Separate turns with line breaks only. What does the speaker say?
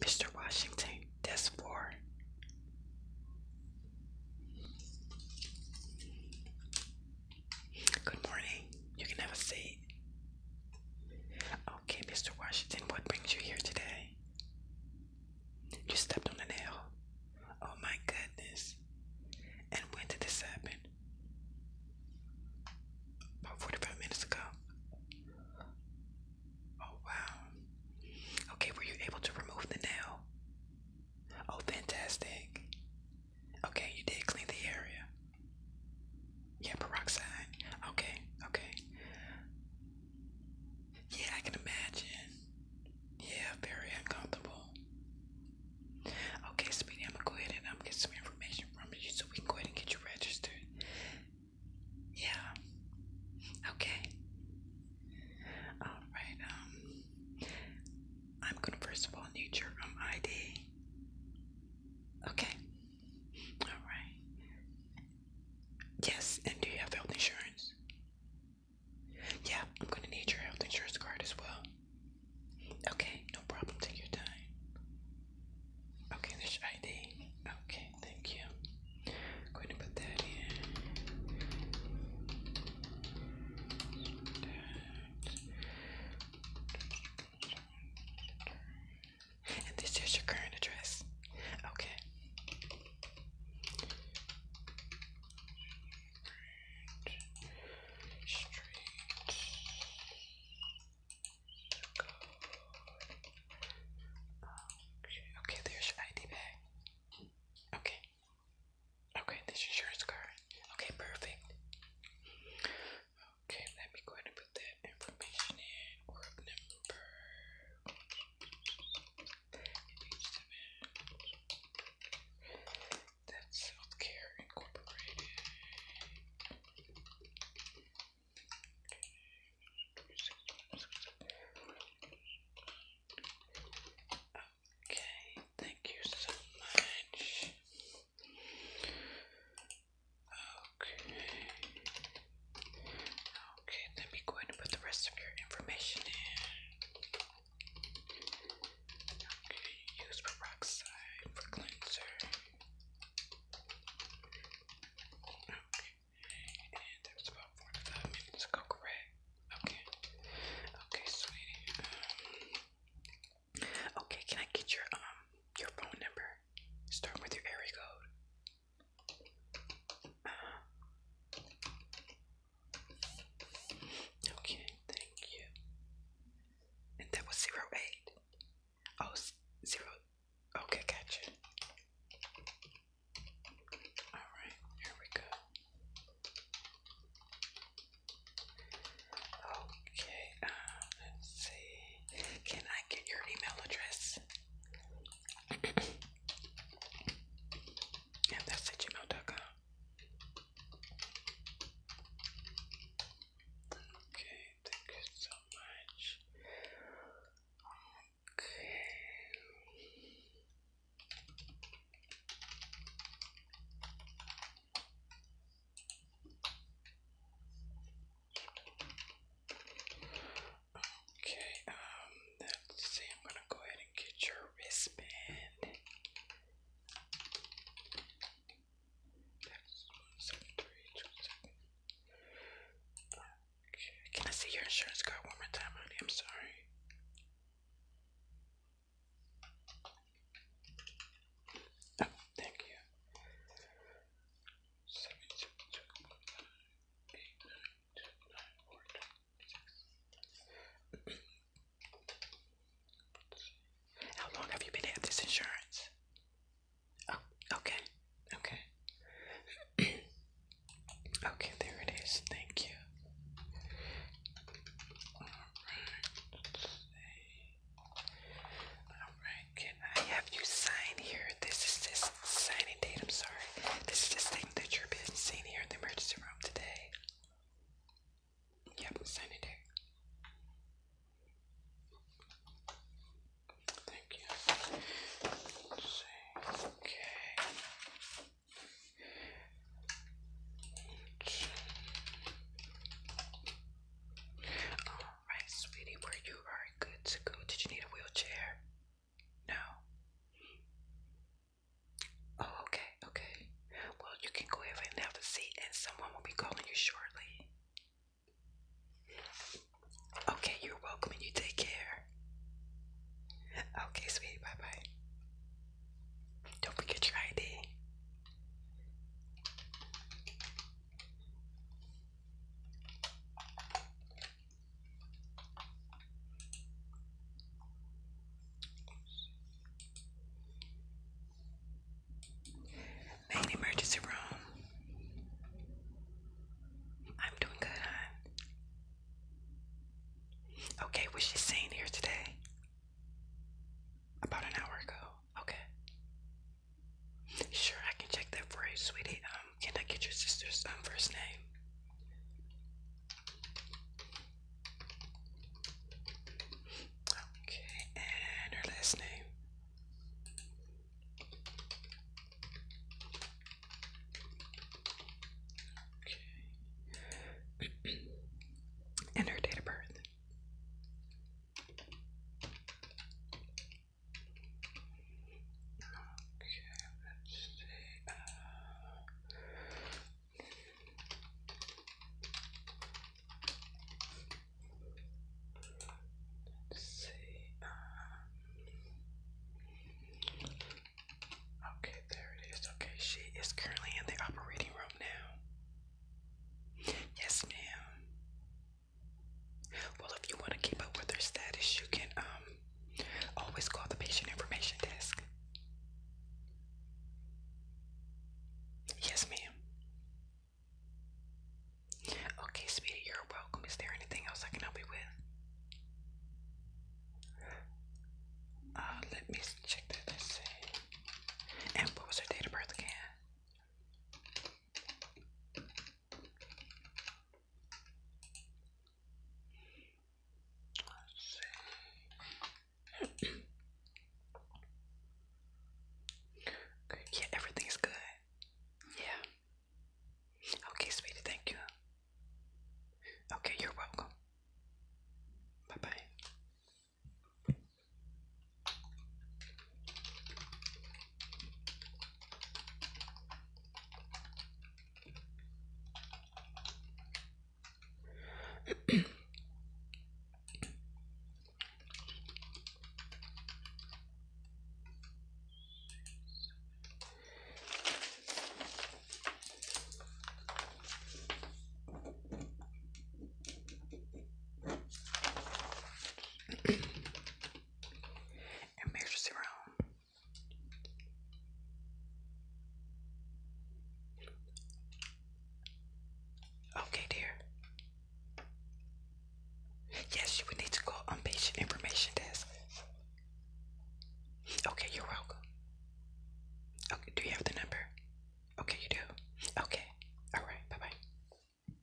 Mr. Washington, desk four. Good morning. You can have a seat. Okay, Mr. Washington, what brings you here today? You stepped on a nail. Oh my goodness. And when did this happen? About 45 minutes ago. Oh wow. Okay, were you able to remove the nail? Oh, fantastic. Okay, you did clean the area. Yeah, peroxide. Okay, okay. Yeah, I can imagine. Yeah, very uncomfortable. Okay, sweetie, I'm gonna go ahead and I'm um, get some information from you so we can go ahead and get you registered. Yeah. Okay. Alright, um I'm gonna first of all need your um ID. Okay. Alright. Yes, and do you have health insurance? Yeah, I'm gonna need your health insurance card as well. Okay, no problem, take your time. Okay, which ID? Okay, thank you. going to put that in. And this is your current address. Okay. Okay, there's your ID bag. Okay. Okay, this is your insurance card. Okay, perfect. Okay, let me go ahead and put that information in. Work number. That's Healthcare Incorporated. Okay, thank you so much. Okay. Okay, let me go ahead and put the rest of your information in. Okay, use peroxide for cleanser. Okay. And that was about 45 minutes ago, correct? Okay. Okay, sweetie. okay, can I get your um your phone number? Start with your area code. Okay, thank you. And that was zero eight. Oh, zero. Okay, gotcha. All right, here we go. Okay, um, let's see. Can I get your email address? yeah, that's at gmail.com. Okay, thank you so much. Okay. Okay, um, let's see, I'm gonna go ahead and get your wristband. Can I see your insurance card one more time, honey? I'm sorry. Oh, thank you. How long have you been at this insurance? Oh, okay, okay. okay, there it is. Thank you. Alright, Alright, can I have you sign here? This is this signing date, I'm sorry. This is the thing that you're being seen here in the emergency room today. Yep, sanitary. Thank you. Okay. Alright, sweetie, where you are good to go. Did you need a wheelchair? No. Oh, okay, okay. Well, you can go ahead and have a seat, and someone will be calling you shortly. Okay, you're welcome, and you take care. Okay, sweetie, bye bye. Don't forget your ID. Main emergency room. I'm doing good, huh? Okay, was she seen here today? About an hour ago. Okay. Sure, I can check that for you, sweetie. Um, can I get your sister's um, first name? Okay, and her last name. Okay. and her date of birth. Okay, let's see. Uh, Let's see. Um, okay, there it is. Okay, she is currently in the operating room now. Yes, ma'am. Well, if you want to keep up with her status, you can um Always call the patient information desk. Yes, ma'am. Okay, sweetie, you're welcome. Is there anything else I can help you with? Uh, let me check that. And what was her date of birth again? Let's see. okay, good. Yeah. Okay, sweetie, thank you. Okay, you're welcome. Bye bye and measures around Okay, dear. Yes, you would need to call on patient information desk. Okay, you're welcome. Okay, do you have the number? Okay, you do. Okay. All right. Bye-bye.